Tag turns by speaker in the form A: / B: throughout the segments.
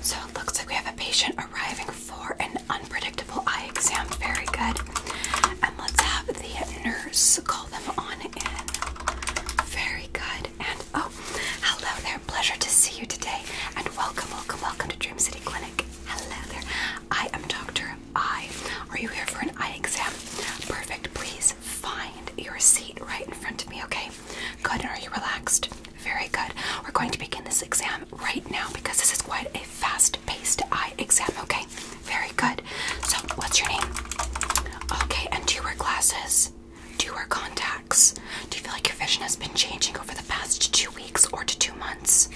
A: So it looks like we have a patient arriving for an unpredictable eye exam. Very good. And let's have the nurse call them on in. Very good. And oh, hello there. Pleasure to see you today. And welcome, welcome, welcome to Dream City Clinic. Hello there. I am Dr. Eye. Are you here for an eye exam? Perfect. Please find your seat right in front of me, okay? Good. Are you relaxed? Very good. We're going to begin this exam right now because this is quite a fast paced eye exam, okay? Very good. So, what's your name? Okay, and do you wear glasses? Do you wear contacts? Do you feel like your vision has been changing over the past two weeks or to two months?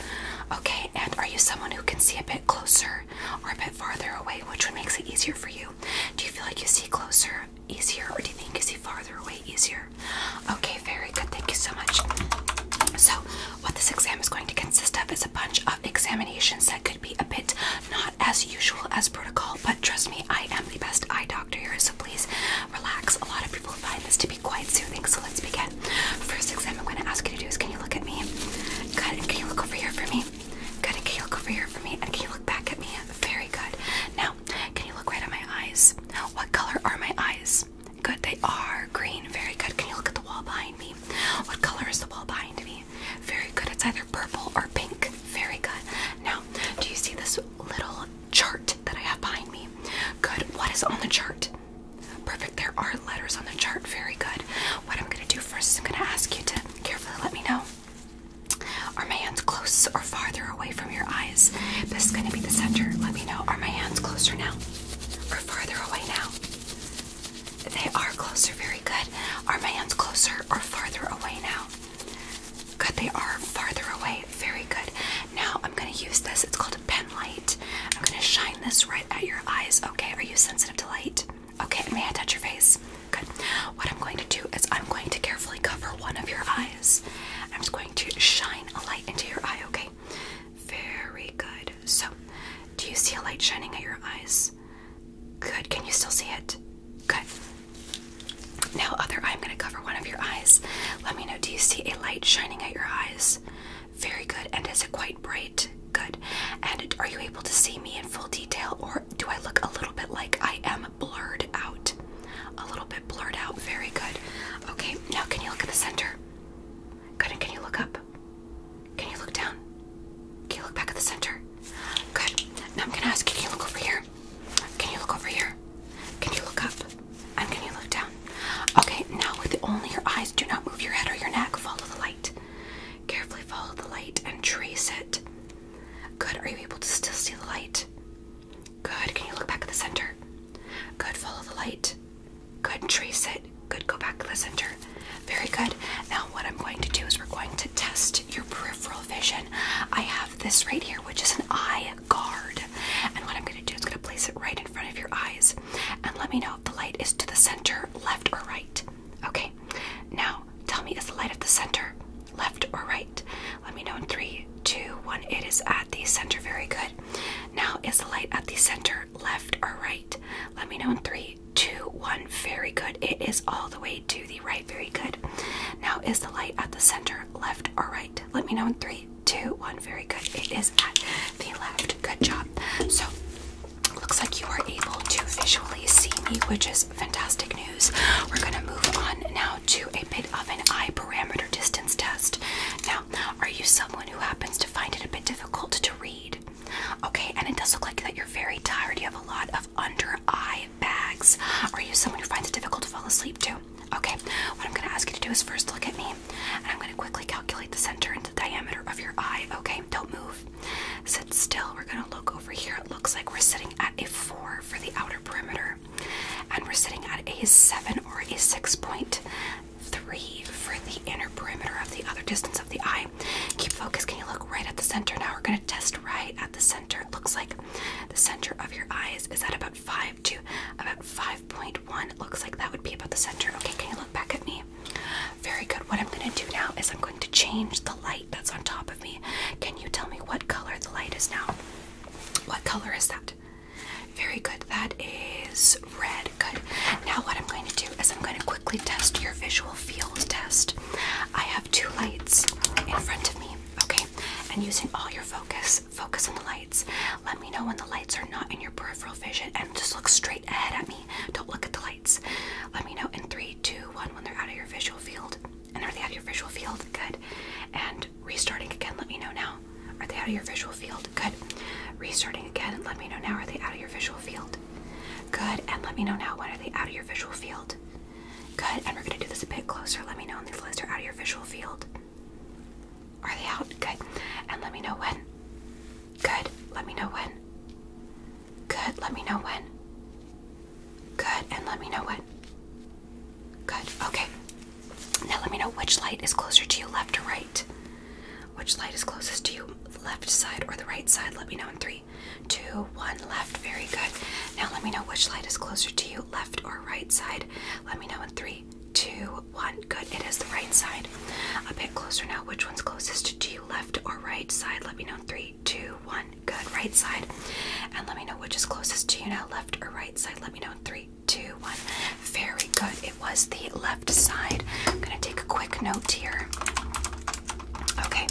A: Okay, and are you someone who can see a bit closer or a bit farther away? Which one makes it easier for you? Do you feel like you see closer easier, or do you think is he farther away easier? Okay, very good. Thank you so much. So, what this exam is going to consist of is a bunch of examinations that could be a bit not as usual as protocol, but trust me, I am the best eye doctor here, so please relax. A lot of people find this to be quite soothing, so let's begin. First exam I'm going to ask you to do is can you look at me? Good, can you look over here for me? Good, can you look over here for me? And can you look back at me? Very good. Now, can you look right at my eyes? What color are my eyes? Good, they are green. Very good. Can you look at the wall behind me? What color is the wall behind me? Very good. It's either purple or pink. Very good. Now, do you see this little chart that I have behind me? Good. What is on the chart? Perfect. There are letters on the chart. Very good. What I'm going to do first is I'm going to ask you to carefully let me know are my hands close or farther away from your eyes? This is going to be the center. Let me know. Are my hands closer now or farther away now? They are closer. Very good. Are my hands closer or farther away now? Good. They are farther away. Very good. Now I'm going to use this. It's called a pen light. I'm going to shine this right at your eyes. Okay. Are you sensitive to light? Okay. may I touch your face? Good. What I'm going to do is I'm going to carefully cover one of your eyes. I'm just going to shine a light into your eye, okay? Very good. So, do you see a light shining at your eyes? Good. Can you still see it? Good. Now, other eye, I'm going to cover one of your eyes. Let me know, do you see a light shining at your eyes? Very good. And is it quite bright? Good. And are you able to see me in full detail or do I look a little bit like I am blurred out. A little bit blurred out. Very good. Okay, now can you look at the center? Good, can you look up? Can you look down? Can you look back at the center? Good. Now I'm gonna ask can you look over here? Can you look over here? Can you look up? And can you look down? Okay, now with only your eyes, do not move your head or your neck. Follow the light. Carefully follow the light and trace it Good. Are you able to still see the light? Good. Can you look back at the center? Good. Follow the light. Good. Trace it. Good. Go back to the center. Very good. Now, what I'm going to do is we're going to test your peripheral vision. I have this right here, which is an eye guard. And what I'm going to do is going to place it right in front of your eyes. And let me know if the light is to the center, left, or right. Okay. Now, Tell me, is the light at the center, left or right? Let me know in three, two, one. It is at the center. Very good. Now, is the light at the center, left or right? Let me know in three, two, one. Very good. It is all the way to the right. Very good. Now, is the light at the center, left or right? Let me know in three, two, one. Very good. It is at the left. Good job. So, looks like you are able to visually see me, which is fantastic news. We're gonna move on now to a bit of an eye parameter distance test. Now, are you someone who happens to find it a bit difficult to read? Okay, and it does look like that you're very tired. You have a lot of under eye bags. Are you someone who finds it difficult to fall asleep too? Okay, what I'm gonna ask you to do is first look at me, and I'm gonna quickly calculate the center and the diameter of your eye. Okay, don't move. Sit still. We're gonna look over here. It looks like we're sitting at a four for the outer perimeter, and we're sitting at a 7 or a 6.3 for the inner perimeter of the other distance of the eye. Keep focus. Can you look right at the center? Now we're going to test right at the center. It looks like the center of your eyes is at about 5 to about 5.1. Looks like that would be about the center. Okay, can you look back at me? Very good. What I'm going to do now is I'm going to change the light that's on top can you tell me what color the light is now? What color is that? Very good. That is red. Good. And Now, what I'm going to do is I'm going to quickly test your visual field test. I have two lights in front of me, okay? And using all your focus, focus on the lights. Let me know when the lights are not in your peripheral vision and just look straight ahead at me. Don't look at the lights. Let me know in three, two, one when they're out of your visual field. And are they out of your visual field? Good. And restarting again, let me know now. Are they out of your visual field? Good. Restarting again, let me know now. Are they out of your visual field? Good. And let me know now. When are they out of your visual field? Good. And we're going to do this a bit closer. Let me know when these lights are out of your visual field. Are they out? Good. And let me know when. Good. Let me know when. Good. Let me know when. Good, and let me know what. Good, okay. Now let me know which light is closer to you, left or right. Which light is closest to you, left side or the right side? Let me know in three, two, one, left. Very good. Now let me know which light is closer to you, left or right side. Let me know in three, two, one. Good, it is the right side. A bit closer now. Which one's closest to you, left or right side? Let me know in three, two, one. Good. Right side. And let me know which is closest to you now, left or right side. Let me know in three, two, one. Very good. It was the left side. I'm going to take a quick note here. Okay.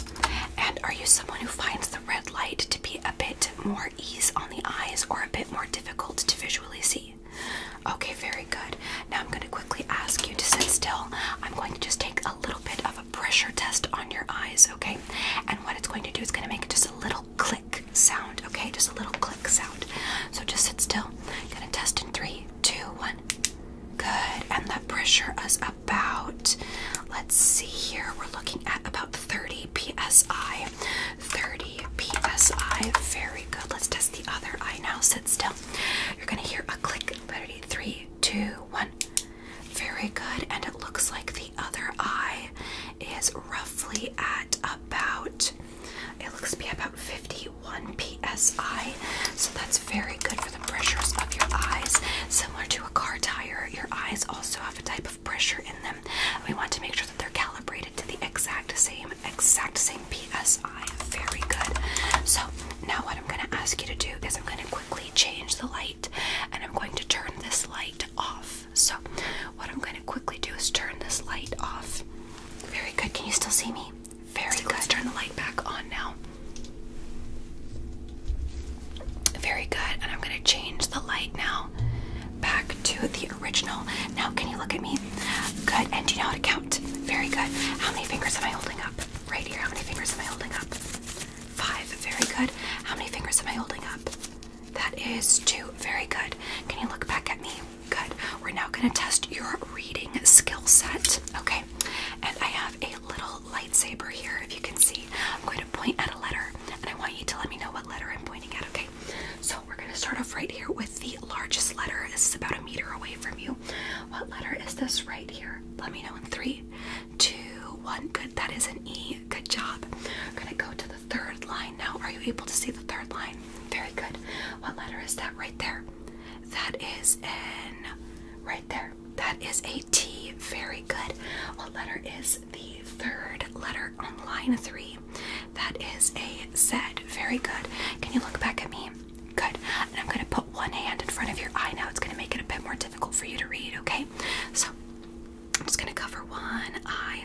A: And are you someone who finds the red light to be a bit more ease on the eyes or a bit more difficult to visually see? Okay, very good. Now I'm going to quickly ask you to sit still. I'm going to just take a little bit of a pressure test on your eyes, okay? And what it's going to do is going to make just a little click sound, okay? Just a little click sound. So just sit still. I'm gonna test in three, two, one. Good. And that pressure is about, let's see here, we're looking at about 30 psi. 30 psi. Very good. Let's test the other eye now. Sit still. You're gonna hear a click. Ready? Three, two, one. Very good. And it looks like the other eye is roughly at about, it looks to be about 51 psi. So that's very good for the pressures of your eyes. Similar to a car tire, your eyes also have a type of pressure in them. We want to make sure that they're calibrated to the exact same, exact same psi. Very good. So now what I'm going to ask you to do is I'm going to quickly change the light and I'm going to turn this light off. So, what I'm going to quickly do is turn this light off. Very good. Can you still see me? Very good. Let's turn the light back on now. Very good. And I'm going to change the light now back to the original. Now, can you look at me? Good. And do you know how to count? Very good. How many fingers am I holding up? Right here. How many fingers am I holding up? Five. Very good. How many fingers am I holding up? That is two. Very good. Can you look back at me? Good. We're now going to test your reading skill set. Okay. And I have a little lightsaber here, if you can see. I'm going to point at a letter, and I want you to let me know what letter I'm pointing at, okay? So we're going to start off right here with the largest letter. This is about a meter away from you. What letter is this right here? Let me know in three, two, one. Good. That is an E. Good job. We're gonna go to the third line now. Are you able to see the third line? Very good. What letter is that right there? That is an right there. That is a T. Very good. What letter is the third letter on line three? That is a Z. Very good. Can you look back at me? Good. And I'm gonna one hand in front of your eye now. It's going to make it a bit more difficult for you to read, okay? So I'm just going to cover one eye.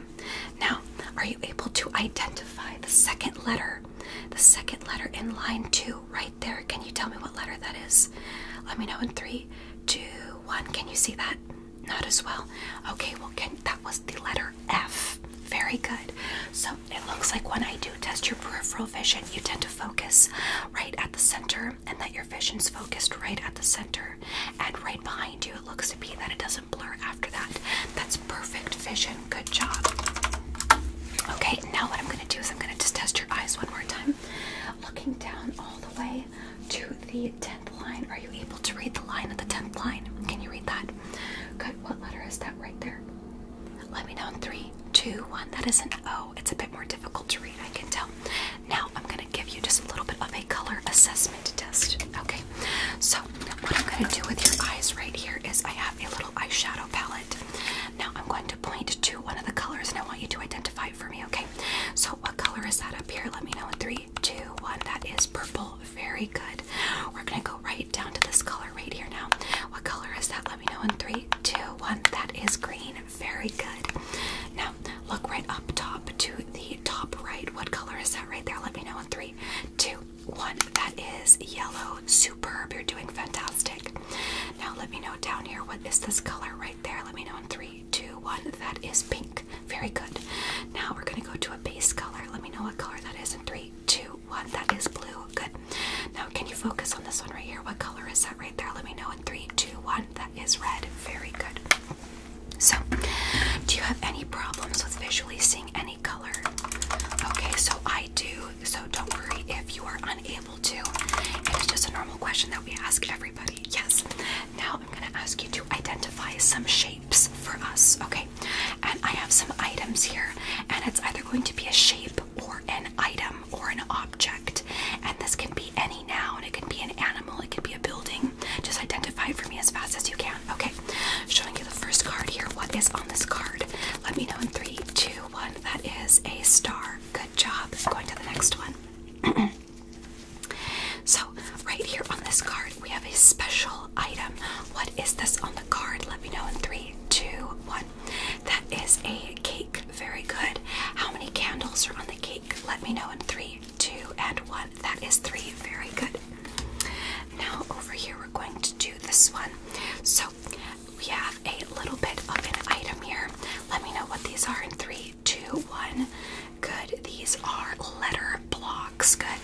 A: Now, are you able to identify the second letter? The second letter in line two, right there. Can you tell me what letter that is? Let me know in three, two, one. Can you see that? Not as well. Okay, well, that was the letter F. Very good. So it looks like when I do test your peripheral vision, you tend to focus right at the center and that your vision's focused right at the center and right behind you. It looks to be that it doesn't blur after that. That's perfect vision. Good job. Okay, now what I'm going to do is I'm going to just test your eyes one more time. Looking down all the way to the 10th line. Are you able to read the line of the 10th line? Can you read that? Good. What letter is that right there? Let me know in three, Two, one that is an O. It's a bit more difficult to read, I can tell. Now I'm going to give you just a little bit of a color assessment test. Okay, so what I'm going to do with your eyes right here is I have a little eyeshadow palette. Now I'm going to point to one of the colors and I want you to identify for me, okay? So what color is that up here? Let me know in three, two, one. That is purple. Very good. We're going to go right down to this color right here now. What color is that? Let me know in three, two, one. That is green. Very good. Now, look right up top to the top right. What color is that right there? Let me know in three, two, one. That is yellow. Superb. You're doing fantastic. Now, let me know down here. What is this color right there? Let me know in three, two, one. That is pink. Very good. Now, we're going to go to a base color. Let me know what color that is in three, two, one. That is blue. Good. Now, can you focus on this one right here? What color is that right there? Let me know in three, two, one. That is red. Very good. So, do you have any problems with visually seeing any color? Okay, so I do. So don't worry if you are unable to. It's just a normal question that we ask everybody. Yes. Now I'm going to ask you to identify some shapes for us. Okay. And I have some items here, and it's either going to be a shape or an item or an object. And this can be any noun, it can be an animal, it can be a building. Just identify it for me as fast as you can. Okay, showing you the first card here. What is on this card? Let me know in three, two, one. That is a star. Good job. Going to the next one. so, right here on this card, we have a special item. What is this on the card? Let me know in three, two, one. That is a cake. Very good. How many candles are on the cake? Let me know in three, two, and one. That is three. Very good. Now, over here, we're going to do this one. So, we have a little bit of an item here. Let me know what these are in three, two, one. Good. These are letter blocks. Good.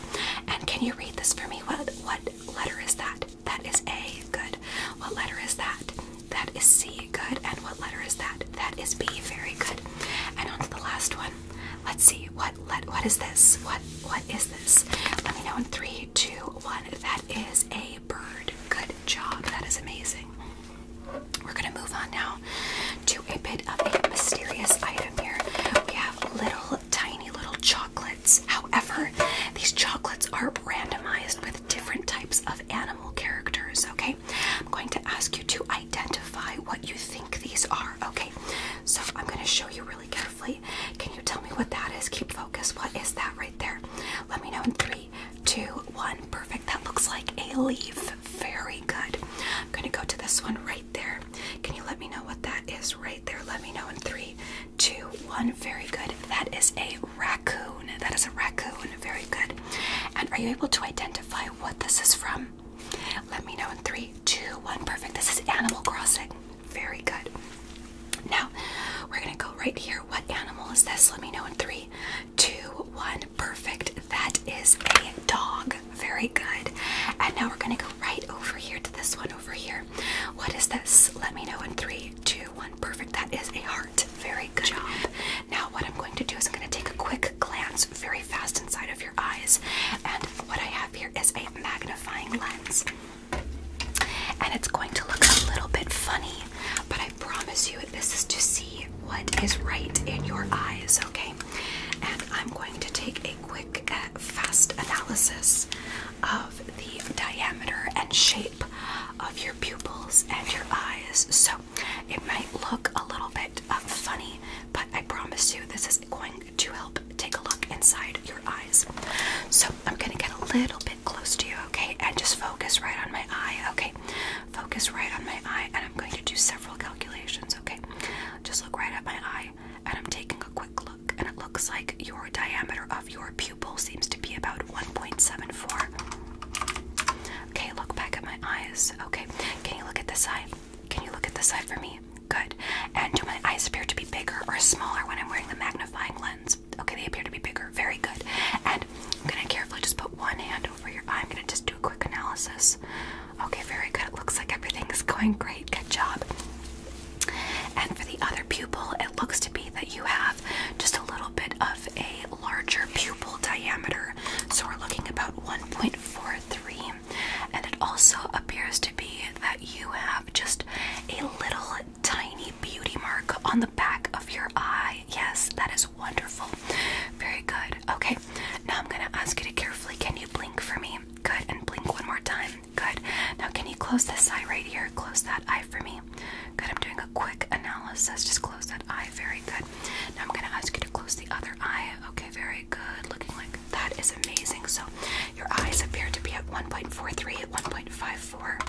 A: And can you read this for me? What what letter is that? That is A. Good. What letter is that? That is C. Good. And what letter is that? That is B. Very good. And on to the last one. Let's see. What let what is this? What what is this? Let me know in three, two, one. That is a bird. Good job. That is amazing. We're gonna move on now to a bit of a mysterious item here. We have little tiny little chocolates. However, these chocolates are randomized different types of animal characters, okay? I'm going to ask you to identify what you think these are, okay? So I'm going to show you really carefully. Can you tell me what that is? Keep focus. What is that right there? Let me know in three, two, one. Perfect. That looks like a leaf. Very good. I'm going to go to this one right there. Can you let me know what that is right there? Let me know in three, two, one. Very good. That is a raccoon. That is a raccoon. Very good. And are you able to identify what this is from? Let me know in three, two, one. Perfect. This is Animal Crossing. Very good. Now, we're going to go right here. What animal is this? Let me know in three, two, one. Perfect. That is a dog. Very good. And now we're going to go right over here to this one over here. What is this? Let me know in three, two, one. Perfect. That is a heart. Very good. Job. Now, what I'm going to do is I'm going to take a quick glance very fast inside of your eyes. And what I have here is a magnifying lens. And it's going to look a little bit funny, but I promise you this is to see what is right in your eyes, okay? And I'm going to take a quick, uh, fast analysis of the diameter and shape of your pupils and your eyes. So it might look a little bit um, funny, but I promise you this is going to help take a look inside your eyes. So I'm going to get a little bit close to you, okay? And just focus right on my eye, okay? Focus right on my eye, and I'm going to do several calculations, okay? Just look right at my eye, and I'm taking a quick look, and it looks like your diameter of your pupil pupil seems to be about 1.74. Okay, look back at my eyes. Okay, can you look at this side? Can you look at this side for me? Good. And do my eyes appear to be bigger or smaller when I'm wearing the magnifying lens? Okay, they appear to be bigger. Very good. And I'm gonna carefully just put one hand over your eye. I'm gonna just do a quick analysis. Okay, very good. It looks like everything is going great. Good job. And for the other pupil, it looks to be that you have just a little bit of a larger pupil diameter. So we're looking about 1.43. And it also appears to be that you have just a little tiny beauty mark on the back of your eye. Yes, that is wonderful. Very good. Okay, now I'm going to ask you to carefully can you blink for me? Good, and blink one more time. Good. Now, can you close this eye right here? Close that eye for me. Good, I'm doing a quick analysis. Just close that eye. Very good. Now I'm going to ask you to close the other eye. Okay, very good. Looking like that is amazing. So your eyes appear to be at 1.43, at 1.54.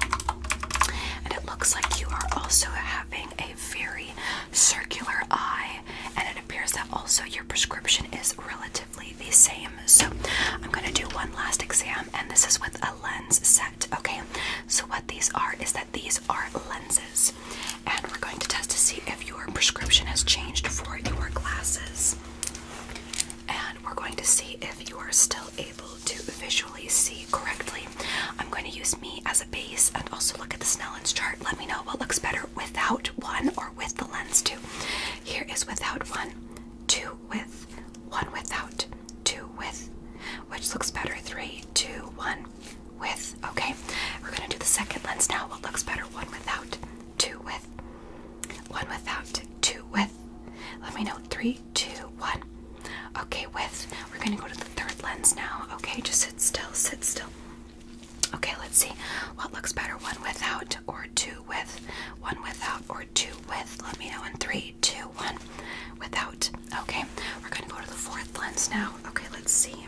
A: And it looks like you are also having a very circular eye. And it appears that also your prescription is relatively the same. So I'm going to do one last exam, and this is with a lens set. Okay, so what these are is that these are lenses, and we're going to test to see if your prescription has changed for your glasses. And we're going to see if you are still able to visually see correctly. I'm going to use me as a base and also look at the Snellen's chart. Let me know what looks better without one or with the lens, Two. Here is without one, two with, one without, two with, which looks better? Three, two, one with. Okay, we're gonna do the second lens now. What looks better? One without, two with, one without, two with. Let me know. Three, two, one. Okay, with. We're gonna go to the third lens now. Okay, just sit still, sit still. Okay, let's see what looks better. One without or two with. One without or two with. Let me know in three. Two one Without. Okay, we're going to go to the fourth lens now. Okay, let's see.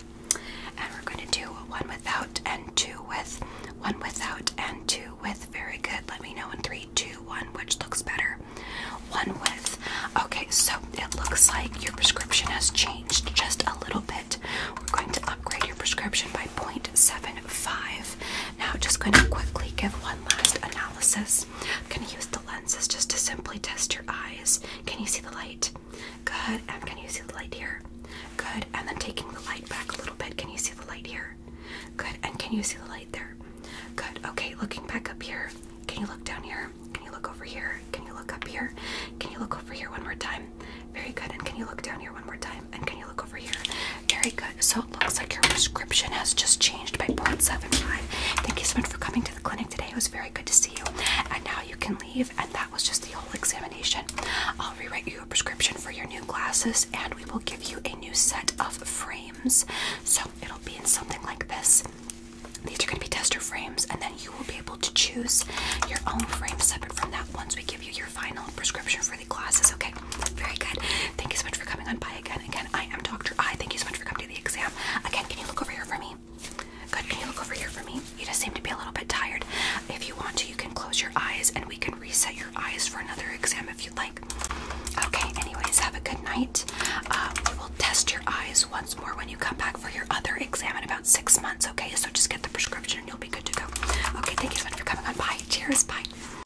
A: And we're going to do one without and two with. One without and two with. Very good. Let me know in three, two, one, which looks better. One with. Okay, so it looks like your prescription has changed just a little bit. We're going to upgrade your prescription by point seven five with. Now, just going to quickly give one last analysis. I'm going to use the lenses just to simply test your eyes. Can you see the light? Good. And can you see the light here? Good. And then taking the light back a little bit, can you see the light here? Good. And can you see the light there? Good. Okay. Looking back up here. Can you look down here? Can you look over here? Can you look up here? Can you look over here one more time? Very good. And can you look down here one more time? And can you look very good. So it looks like your prescription has just changed by 0.75. Thank you so much for coming to the clinic today. It was very good to see you. And now you can leave. And that was just the whole examination. I'll rewrite your prescription for your new glasses, and we will give you a new set of frames. So it'll be in something like this. These are going to be tester frames, and then you will be able to choose your own frames separate from that once we give you your final prescription for for the glasses. Okay, very good. Thank you so much for coming on by again. Again, I am Dr. I. Thank you so much for coming to the exam. Again, can you look over here for me? Good, can you look over here for me? You just seem to be a little bit tired. If you want to, you can close your eyes and we can reset your eyes for another exam if you'd like. Okay, anyways, have a good night. Um, we will test your eyes once more when you come back for your other exam in about six months, okay? So just get the prescription and you'll be good to go. Okay, thank you so much for coming on. by. Cheers. Bye.